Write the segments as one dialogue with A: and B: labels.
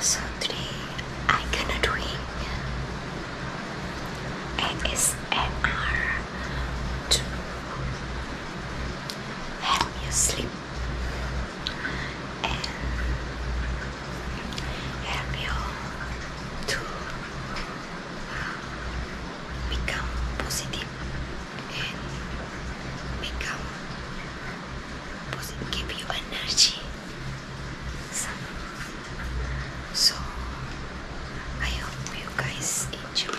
A: So today I gonna doing ASMR to help you sleep and help you to uh, become positive and become positive, give you energy. So, so I hope you guys enjoy.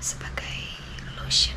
A: sebagai lotion.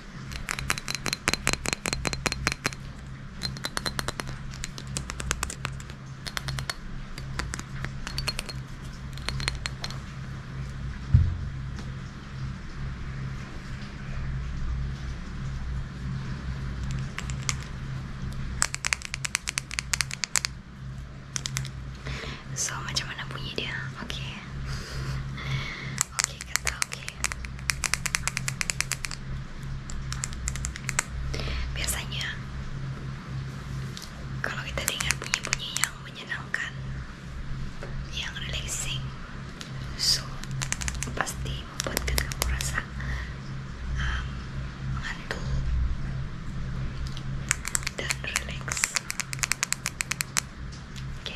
A: So macam mana bunyi dia Okay Okay kata okay Biasanya kalau kita dengar bunyi-bunyi yang menyenangkan, yang relaxing, so pasti membuat kita merasa um, mengantuk dan relax. Oke.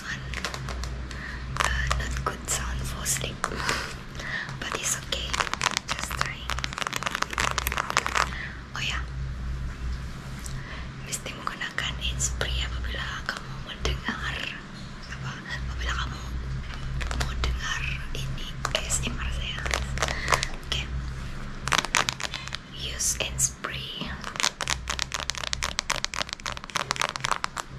A: Uh, not good sound for sleep but it's okay just trying oh yeah. mesti menggunakan inspray apabila kamu mendengar apa apabila kamu mau dengar ini ASMR saya okay use inspray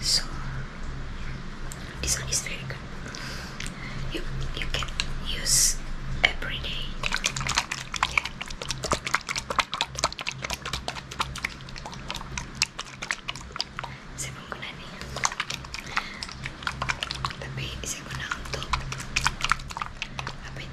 A: so this one is very good you, you can use every day yeah. saya menggunakan ini tapi saya guna untuk apa ah,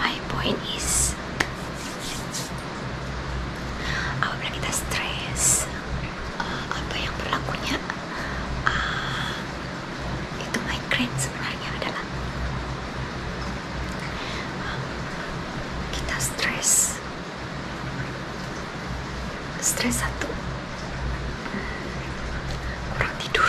A: My point is apabila kita stres uh, eh, apa yang berlakunya uh, itu migraine sebenarnya adalah uh, kita stres stres satu kurang tidur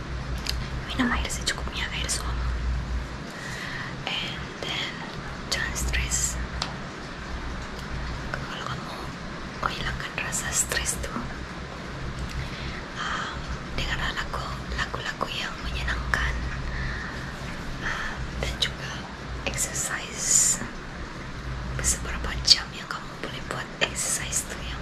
A: minum air secukupnya air suam and then jangan stres kalau kamu kau hilangkan rasa stres tu um, um, exercise seberapa jam yang kamu boleh buat exercise itu yang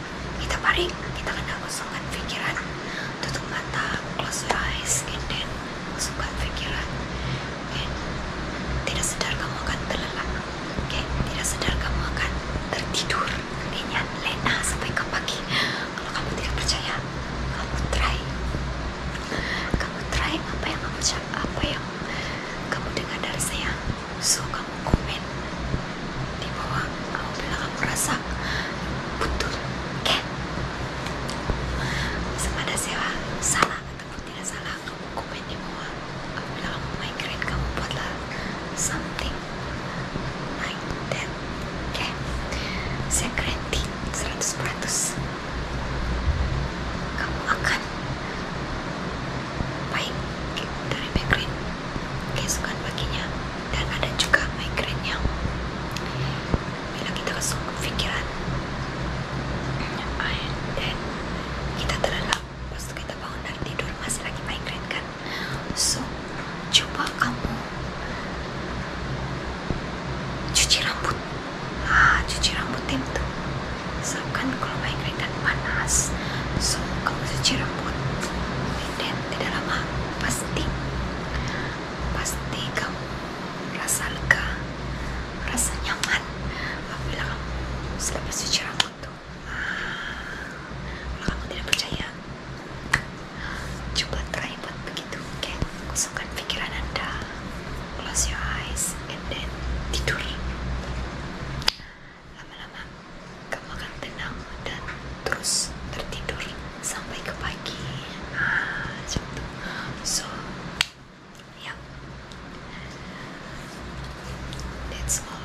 A: kita baring kita kena kosongkan fikiran tutup mata close your eyes and then kosongkan fikiran okay. tidak sedar kamu akan terlelap okay. tidak sedar kamu akan tertidur lenyap lena sampai ke pagi kalau kamu tidak percaya kamu try kamu try apa yang kamu cakap apa yang kamu dengar dari saya So kamu komen di bawah kamu bilang kamu rasa betul, kan? Sepada siapa salah ataupun tidak salah kamu komen di bawah kamu bilang kamu migrain kamu buatlah something like that, kan? Saya guarantee 100%. Kamu akan baik dari background keesokan paginya dan ada juga migraine yang bila kita kesok pikiran dan kita terlelap lepas kita bangun dari tidur masih lagi migraine kan so coba kamu cuci rambut ah cuci rambut tim tuh Sebabkan kalau main keringkan panas So kalau cuci rambut Dan tidak lama Pasti Pasti kamu Rasa lega Rasa nyaman Apabila kamu sudah bersuci rambut itu. Ah, kalau kamu tidak percaya Coba try buat begitu okay? Kusungkan pikiran anda Close your eyes And then tidur lama-lama kamu akan tenang dan terus tertidur sampai ke pagi ah, macam tu so yeah that's all